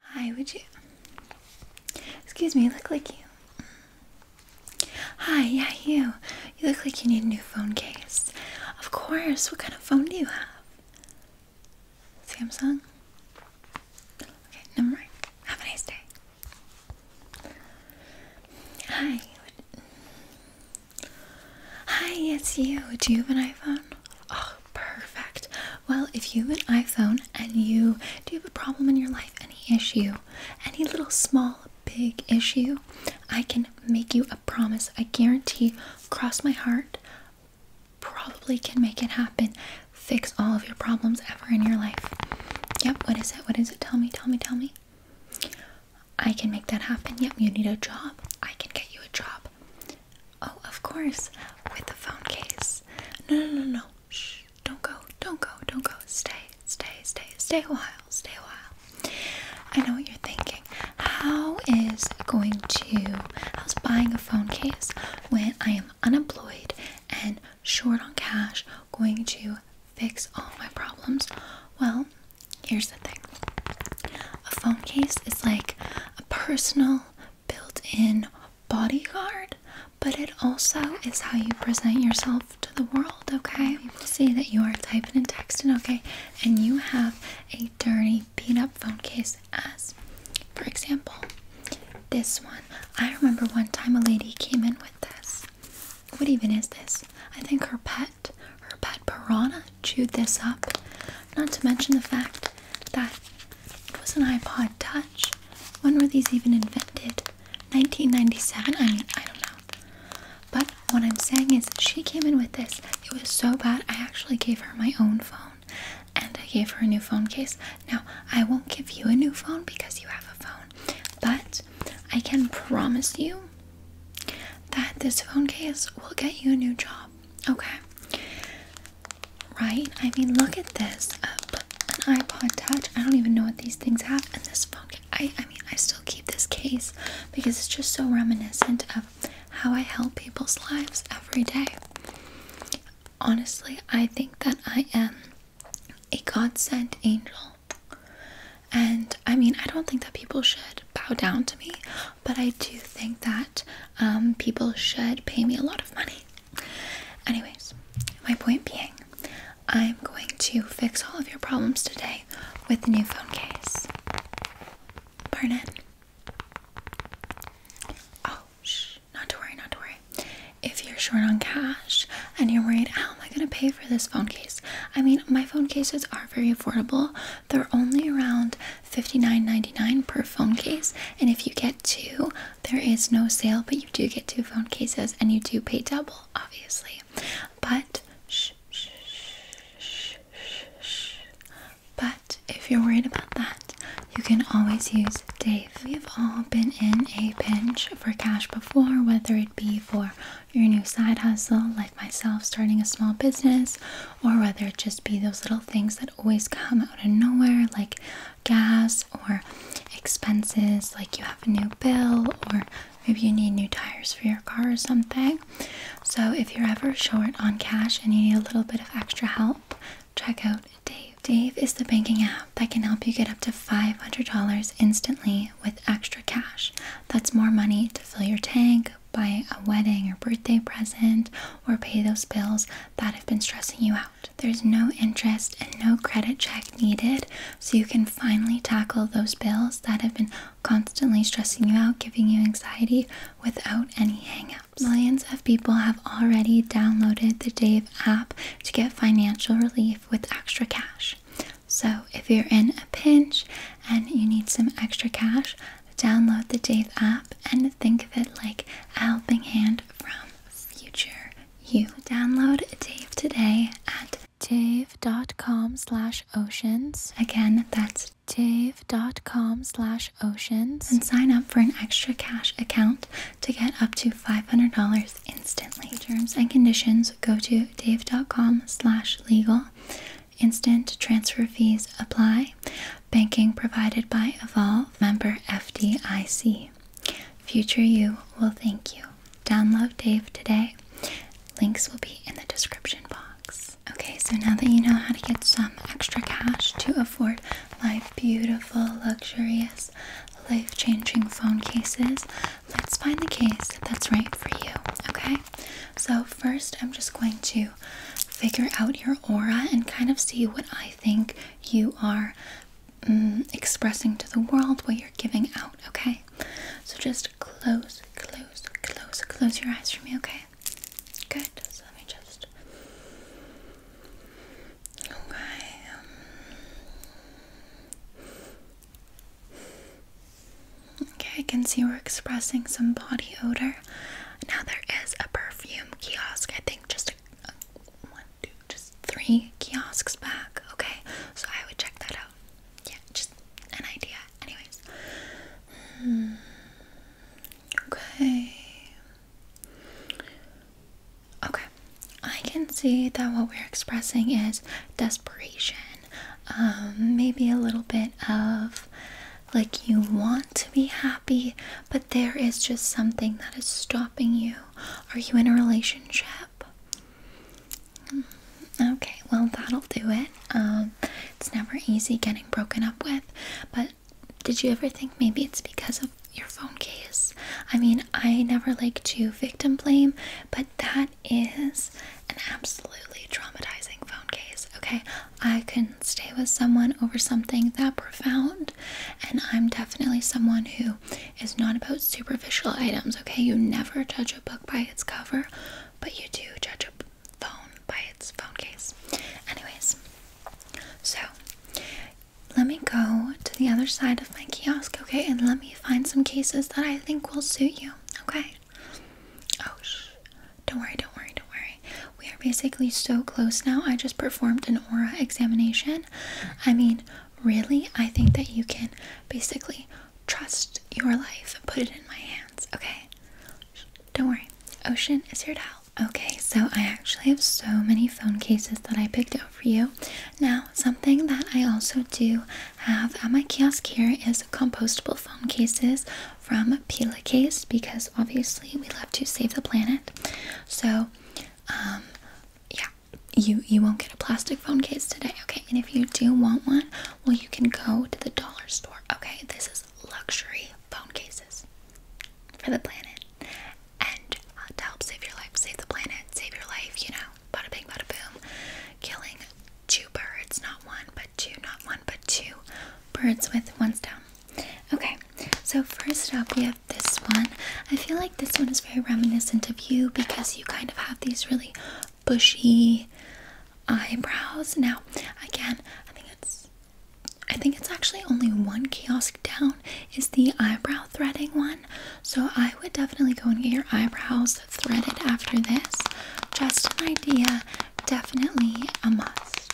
Hi, would you? Excuse me, look like you. Hi, yeah, you. You look like you need a new phone case. Of course. What kind of phone do you have? Samsung? Okay, never mind. Have a nice day. Hi. Hi, it's you. Do you have an iPhone? Oh, Perfect. Well, if you have an iPhone and you do have a problem in your life, any issue, any little small, big issue, I can make you a promise. I guarantee, cross my heart, probably can make it happen. Fix all of your problems ever in your life. Yep, what is it? What is it? Tell me, tell me, tell me. I can make that happen. Yep, you need a job. I can get you a job. Oh, of course, with the phone case. No, no, no, no. Shh, don't go, don't go, don't go. Stay, stay, stay, stay a while, stay a while. I know what you're thinking. How is going to, I was buying a phone case when I am unemployed and short on cash going to fix all my problems? Well, here's the thing a phone case is like a personal, built in bodyguard, but it also is how you present yourself to the world, okay? People see that you are typing and texting, okay? And you have a dirty, beat up phone case, as for example, this one. I remember one time a lady came in with this. What even is this? I think her pet, her pet piranha, chewed this up. Not to mention the fact that it was an iPod Touch. When were these even invented? 1997? I mean, I don't know. But what I'm saying is, she came in with this. It was so bad, I actually gave her my own phone and I gave her a new phone case. Now, I won't give you a new phone because you have a phone, but I can promise you that this phone case will get you a new job. Okay. Right? I mean, look at this. Uh, an iPod Touch. I don't even know what these things have. And this phone. I, I mean, I still keep this case because it's just so reminiscent of how I help people's lives every day. Honestly, I think that I am a God sent angel. And I mean, I don't think that people should bow down to me, but I do think that um, people should pay me a lot of money. Anyways, my point being, I'm going to fix all of your problems today with the new phone case. Burn Oh, shh, not to worry, not to worry. If you're short on cash and you're worried, how am I going to pay for this phone case? I mean, my phone cases are very affordable. They're only around Fifty-nine ninety-nine per phone case. And if you get two, there is no sale, but you do get two phone cases and you do pay double, obviously. But But if you're worried about that, you can always use Dave. We've all been in a pinch for cash before, whether it be for your new side hustle, like myself starting a small business, or whether it just be those little things that always come out of nowhere, like gas or expenses, like you have a new bill, or maybe you need new tires for your car or something. So, if you're ever short on cash and you need a little bit of extra help, check out Dave. Dave is the banking app that can help you get up to $500 instantly with extra cash. That's more money to fill your tank, buy a wedding or birthday present or pay those bills that have been stressing you out. There's no interest and no credit check needed, so you can finally tackle those bills that have been constantly stressing you out, giving you anxiety without any hangups. Millions of people have already downloaded the Dave app to get financial relief with extra cash. So, if you're in a pinch and you need some extra cash, Download the Dave app and think of it like a helping hand from future you. Download Dave today at dave.com slash oceans. Again, that's dave.com slash oceans. And sign up for an extra cash account to get up to $500 instantly. Terms and conditions go to dave.com slash legal. Instant transfer fees apply. Banking provided by Evolve, member FDIC. Future you will thank you. Download Dave today. Links will be in the description box. Okay, so now that you know how to get some extra cash to afford my beautiful, luxurious, life changing phone cases, let's find the case that's right for you. Okay, so first I'm just going to figure out your aura and kind of see what I think you are mm, expressing to the world, what you're giving out, okay? So just close, close, close, close your eyes for me, okay? Good. So let me just. Okay. Okay, I can see we're expressing some body odor. Now there is a perfume kiosk. I think just a, one, two, just three kiosks back. Okay, so I would check that out. Yeah, just an idea. Anyways, hmm, okay. Okay, I can see that what we're expressing is desperation, um, maybe a little bit of like you want to be happy, but there is just something that is stopping you. Are you in a relationship? Mm-hmm. Okay, well, that'll do it. Um, it's never easy getting broken up with, but did you ever think maybe it's because of your phone case? I mean, I never like to victim blame, but that is an absolutely traumatizing phone case, okay? I can stay with someone over something that profound, and I'm definitely someone who is not about superficial items, okay? You never judge a book by its cover, but you do judge a phone by its phone case. Anyways, so let me go to the other side of my kiosk, okay? And let me find some cases that I think will suit you, okay? Oh, shh. Don't worry, don't worry, don't worry. We are basically so close now. I just performed an aura examination. I mean, really, I think that you can basically trust your life and put it in my hands, okay? Don't worry. Ocean is here to help. Okay, so I actually have so many phone cases that I picked out for you. Now, something that I also do have at my kiosk here is compostable phone cases from Pila Case because obviously we love to save the planet. So, um, yeah, you you won't get a plastic phone case today, okay? And if you do want one, well, you can go to the dollar store, okay? This is luxury phone cases for the planet and uh, to help save your life, save the planet, save your life, you know, bada bing, bada boom, killing two birds, not one, but two, not one, but two birds with one stone. Okay, so first up we have this one. I feel like this one is very reminiscent of you because you kind of have these really bushy eyebrows. Now, again, I think it's I think it's actually only one kiosk down is the eyebrow threading one. So I would definitely go and get your eyebrows threaded after this. Just an idea definitely a must.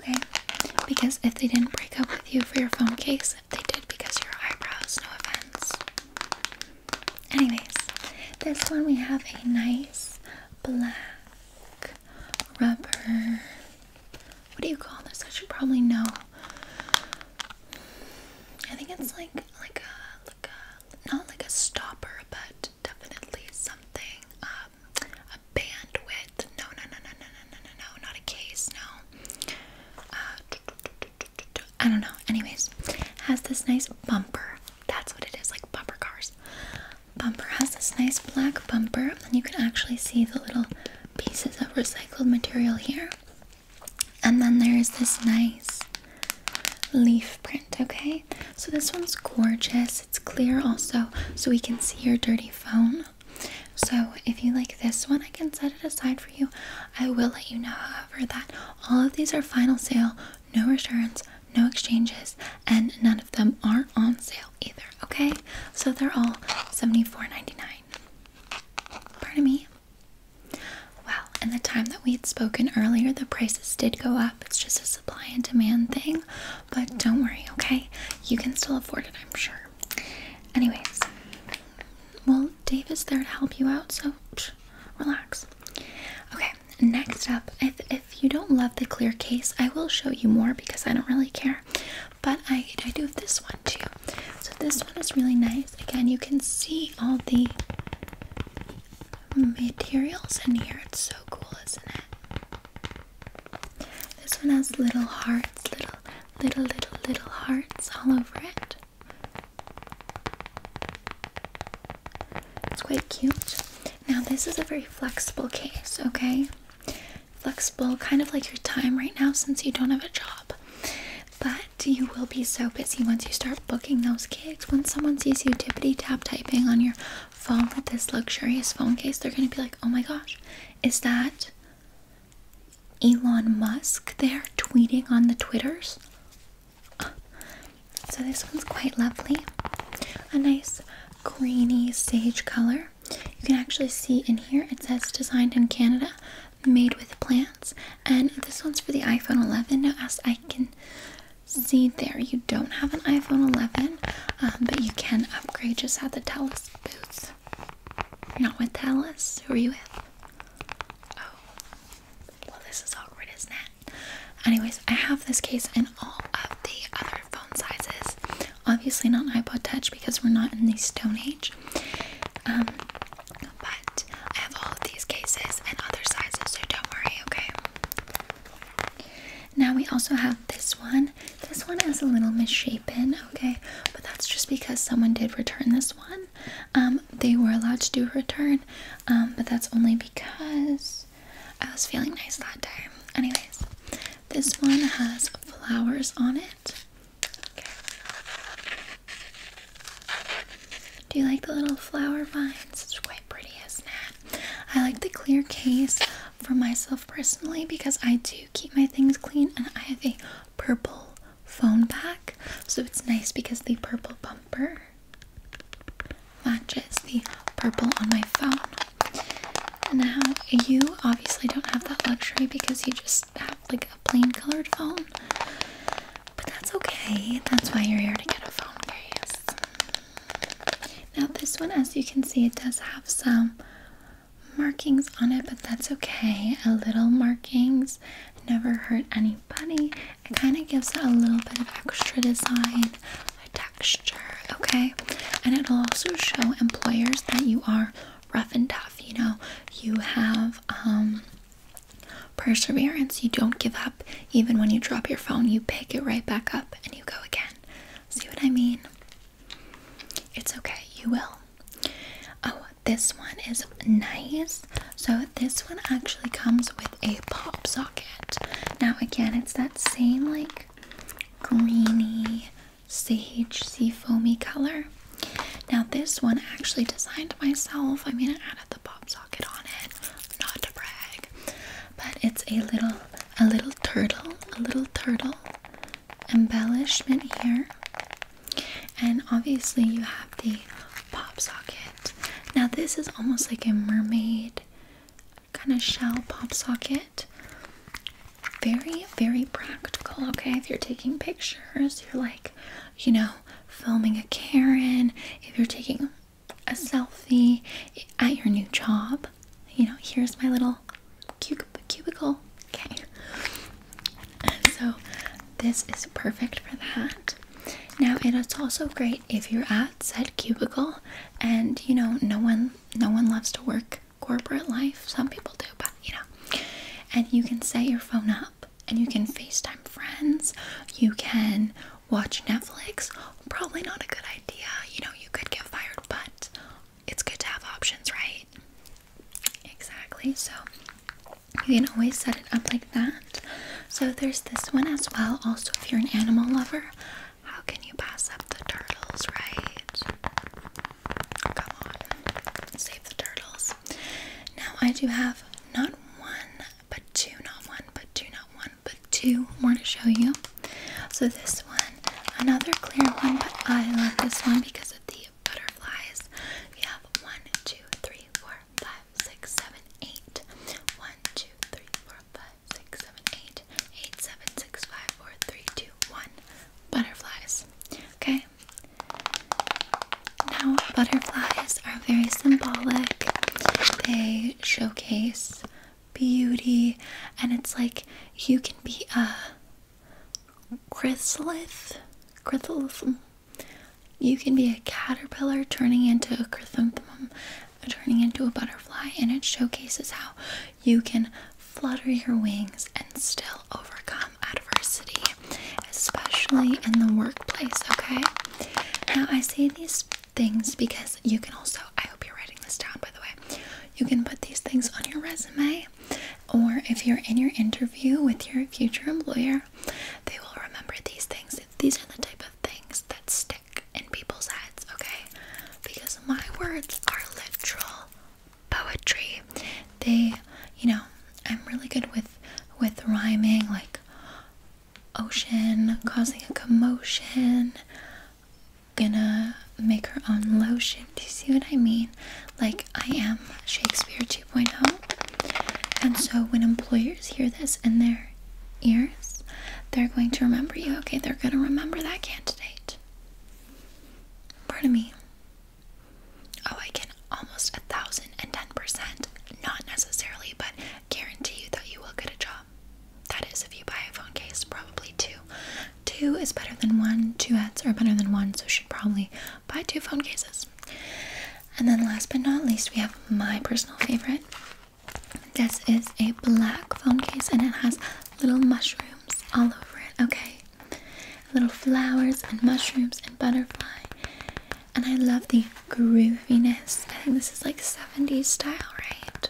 Okay? Because if they didn't break up with you for your phone case, they did because your eyebrows, no offense. Anyways, this one we have a nice black rubber. What do you call this? I should probably know. I think it's like like a like a not like a stopper, but definitely something, um, a bandwidth. No, no, no, no, no, no, no, no, no, not a case, no. Uh, I don't know. Anyways, has this nice bumper. That's what it is, like bumper cars. Bumper has this nice black bumper, and you can actually see the little pieces of recycled material here. And then there's this nice leaf print, okay? so this one's gorgeous. It's clear also, so we can see your dirty phone. So if you like this one, I can set it aside for you. I will let you know, however, that all of these are final sale, no returns, no exchanges, and none of them are on sale either. Okay, so they're all $74.99. Pardon me. Well, in the time that we had spoken earlier, the prices did go up. It's just a supply and demand thing, but don't worry, okay? You can still afford it, I'm sure. Anyways, well, Dave is there to help you out, so relax. Okay, next up, if, if you don't love the clear case, I will show you more because I don't really care, but I, I do have this one too. So, this one is really nice. Again, you can see all the materials in here. It's so cool, isn't it? This one has little hearts, little, little, little, little hearts all over it. It's quite cute. Now, this is a very flexible case, okay? Flexible, kind of like your time right now since you don't have a job. But you will be so busy once you start booking those kids. When someone sees you tippity tap typing on your phone with this luxurious phone case, they're gonna be like, oh my gosh, is that Elon Musk there tweeting on the Twitters? So this one's quite lovely. A nice greeny sage color. You can actually see in here it says designed in Canada, made with plants. And this one's for the iPhone 11. Now, as I can See there, you don't have an iPhone 11, um, but you can upgrade just at the Telus booth. Not with Telus. Who are you with? Oh, well, this is awkward, isn't it? Anyways, I have this case in all of the other phone sizes. Obviously, not an iPod Touch because we're not in the Stone Age. Um, but I have all of these cases and other sizes, so don't worry, okay? Now we also have this one. This one is a little misshapen, okay? But that's just because someone did return this one. Um, they were allowed to do a return, um, but that's only because I was feeling nice that day. Anyways, this one has flowers on it. Okay. Do you like the little flower vines? It's quite pretty, isn't it? I like the clear case for myself personally because I do keep my things clean and I have a purple phone back, So it's nice because the purple bumper matches the purple on my phone. Now, you obviously don't have that luxury because you just have like a plain colored phone. But that's okay. That's why you're here to get a phone case. Now, this one, as you can see, it does have some markings on it, but that's okay. A little markings never hurt anybody. It kind of gives it a little bit of extra design, texture, okay? And it'll also show employers that you are rough and tough. You know, you have um, Perseverance, you don't give up. Even when you drop your phone, you pick it right back up and you go again. See what I mean? It's okay, you will. Oh, this one is nice. So, this one actually comes with a pop socket. Now, again, it's that same like greeny, sagey, foamy color. Now, this one actually designed myself. I mean, I added the pop socket on it not to brag, but it's a little a little turtle, a little turtle embellishment here. And obviously you have the pop socket. Now this is almost like a mermaid kind of shell pop socket. Very, very practical, okay? If you're taking pictures, you're like, you know, filming a Karen, if you're taking a selfie at your new job. You know, here's my little cubicle. Okay. So this is perfect for that. Now it is also great if you're at said cubicle and you know no one no one loves to work corporate life. Some people do, but you know. And you can set your phone up and you can FaceTime friends, you can watch Netflix. Probably not a good idea, you know, you could get fired, but it's good to have options, right? Exactly, so you can always set it up like that. So there's this one as well. Also, if you're an animal lover, how can you pass up the turtles, right? Come on, save the turtles. Now, I do have not one but two, not one, but two, not one, but two more to show you. So this one, another clear one, but I love this one because of the butterflies. You have one, two, three, four, five, six, seven, eight. One, two, three, four, five, six, seven, eight, eight, seven, six, five, four, three, two, one. Butterflies. Okay. Now, butterflies are very symbolic. They showcase beauty, and it's like you can be a chrysalis, chrysalis. You can be a caterpillar turning into a chrysanthemum, turning into a butterfly, and it showcases how you can flutter your wings and still overcome adversity especially in the workplace, okay? Now, I say these things because you can also, I hope you're writing this down by the way, you can put these things on your resume, or if you're in your interview with your future employer, they will remember these things. These are the type of things that stick in people's heads, okay? Because my words are literal poetry. They, you know, I'm really good with with rhyming, like ocean, causing a commotion, gonna make her own lotion. Do you see what I mean? Like, I am Shakespeare 2.0. And so, when employers hear this in their ears, they're going to remember you. Okay, they're gonna remember that candidate. Pardon me. Oh, I can almost a thousand and ten percent, not necessarily, but guarantee you that you will get a job. That is, if you buy a phone case, probably two. Two is better than one, two ads are better than one, so you should probably buy two phone cases. And then, last but not least, we have my personal favorite. This is a black phone case and it has little mushrooms all over it, okay? Little flowers and mushrooms and butterfly and I love the grooviness. I think this is like 70s style, right?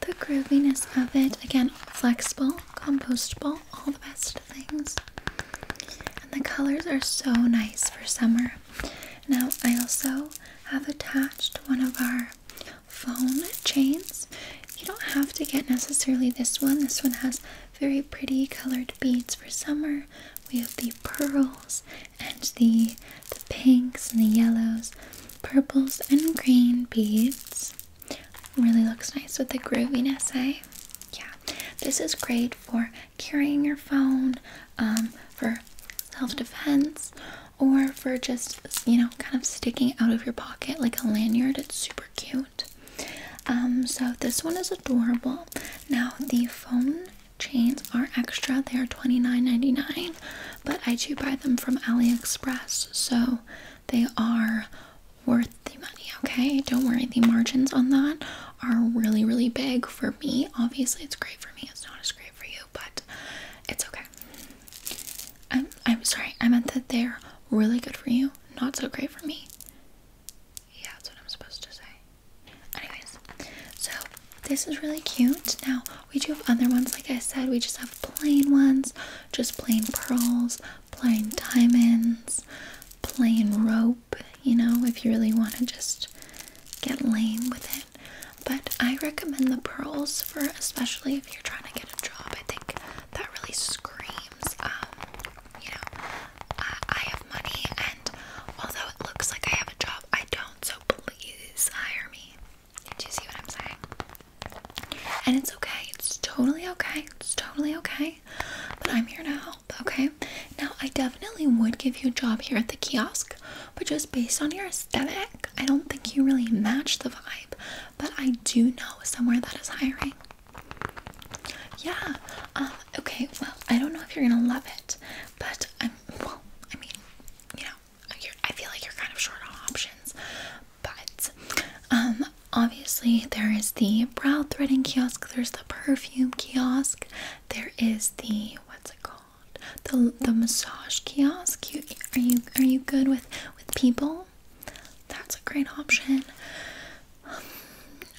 The grooviness of it. Again, flexible, compostable, all the best things. And the colors are so nice for summer. Now, I also have attached one of our phone chains. You don't have to get necessarily this one. This one has very pretty colored beads for summer, we have the pearls and the pinks and the yellows, purples and green beads. Really looks nice with the grooviness, eh? Yeah, this is great for carrying your phone, um, for self-defense, or for just you know kind of sticking out of your pocket like a lanyard. It's super cute. Um, so this one is a adorable. Now the phone chains are extra. They are $29.99, but I do buy them from AliExpress, so they are worth the money, okay? Don't worry, the margins on that are really, really big for me. Obviously, it's great for me. It's not as great for you, but it's okay. I'm, I'm sorry. I meant that they're really good for you, not so great for me. Yeah, that's what I'm supposed to say. Anyways, so this is really cute. Now, we do have other ones, like I said, we just have plain ones, just plain pearls, plain diamonds, plain rope, you know, if you really want to just get lame with it. But I recommend the pearls for especially if you're trying to get a job. I think that really screams um, you know, I have money, and although it looks like I have a job, I don't. So please hire me. Do you see what I'm saying? And it's okay. It's totally okay. It's totally okay. But I'm here to help. Okay. Now I definitely would give you a job here at the kiosk, but just based on your aesthetic, I don't think you really match the vibe. But I do know somewhere that is hiring. Yeah. Um, okay. Well, I don't know if you're gonna love it, but I'm. Well, I mean, you know, you're, I feel like you're kind of short on options. But um, obviously, there is the brow threading kiosk. There's the perfume kiosk. There is the what's it called? The the massage kiosk. You, are you are you good with with people? That's a great option.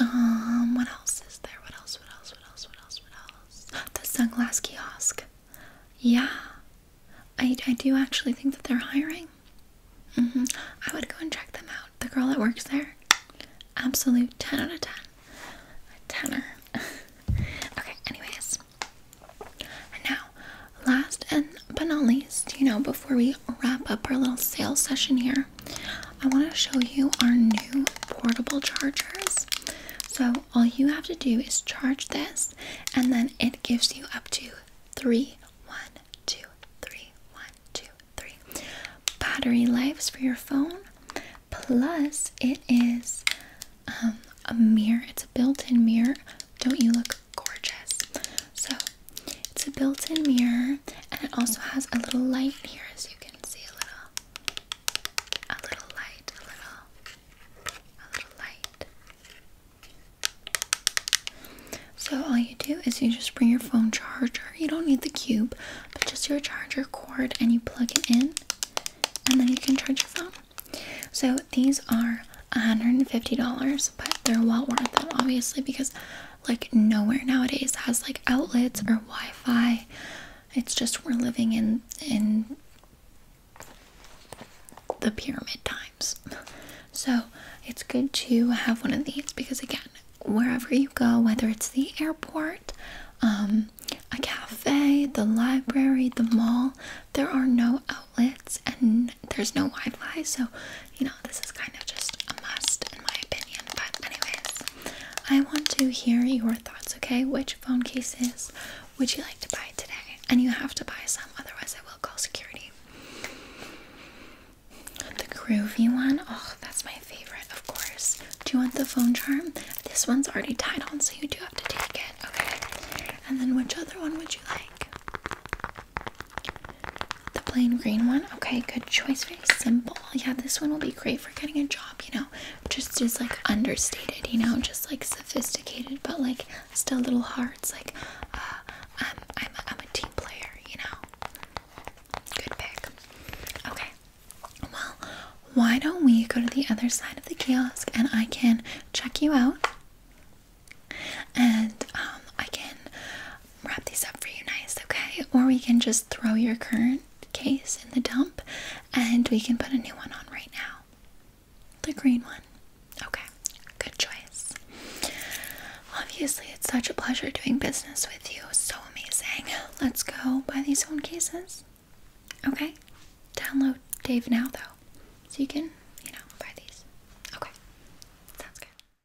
Um, what else is there? What else? What else? What else? What else? What else? The sunglass kiosk. Yeah, I I do actually think that they're hiring. Mm -hmm. I would go and check them out. The girl that works there, absolute ten out of ten, a tenner. okay. Anyways, now, last and but not least, you know, before we wrap up our little sales session here, I want to show you our new portable chargers. So, all you have to do is charge this, and then it gives you up to three, one, two, three, one, two, three battery lives for your phone. Plus, it is um, a mirror, it's a built in mirror. Don't you look gorgeous? So, it's a built-in mirror and it also has a little light here as you can see a little a little light, a little a little light. So all you do is you just bring your phone charger. You don't need the cube, but just your charger cord and you plug it in and then you can charge your phone. So these are $150, but they're well worth it obviously because like nowhere nowadays has like outlets or Wi-Fi. It's just we're living in in the pyramid times. So it's good to have one of these because again, wherever you go, whether it's the airport, um, a cafe, the library, the mall, there are no outlets and there's no Wi-Fi. So you know, this is kind of just a must in my opinion. But, anyways, I want to hear your thoughts, okay? Which phone cases would you like to buy today? And you have to buy some, otherwise, I will call security. The groovy one, oh, that's my favorite, of course. Do you want the phone charm? This one's already tied on, so you do have to take it, okay? And then, which other one would you like? The plain green one? Okay, good choice. Very simple. Yeah, this one will be great for getting a job, you know. Just is like understated, you know, just like sophisticated, but like still little hearts. Like, uh, um, I'm, a team player, you know. Good pick. Okay, well, why don't we go to the other side of the kiosk and I can check you out and um, I can wrap these up for you nice, okay? Or we can just throw your current case in the dump and we can put a new one on right now. The green one. Okay, good choice. Obviously, it's such a pleasure doing business with you. So amazing. Let's go buy these phone cases. Okay, download Dave now though, so you can, you know, buy these. Okay, sounds good.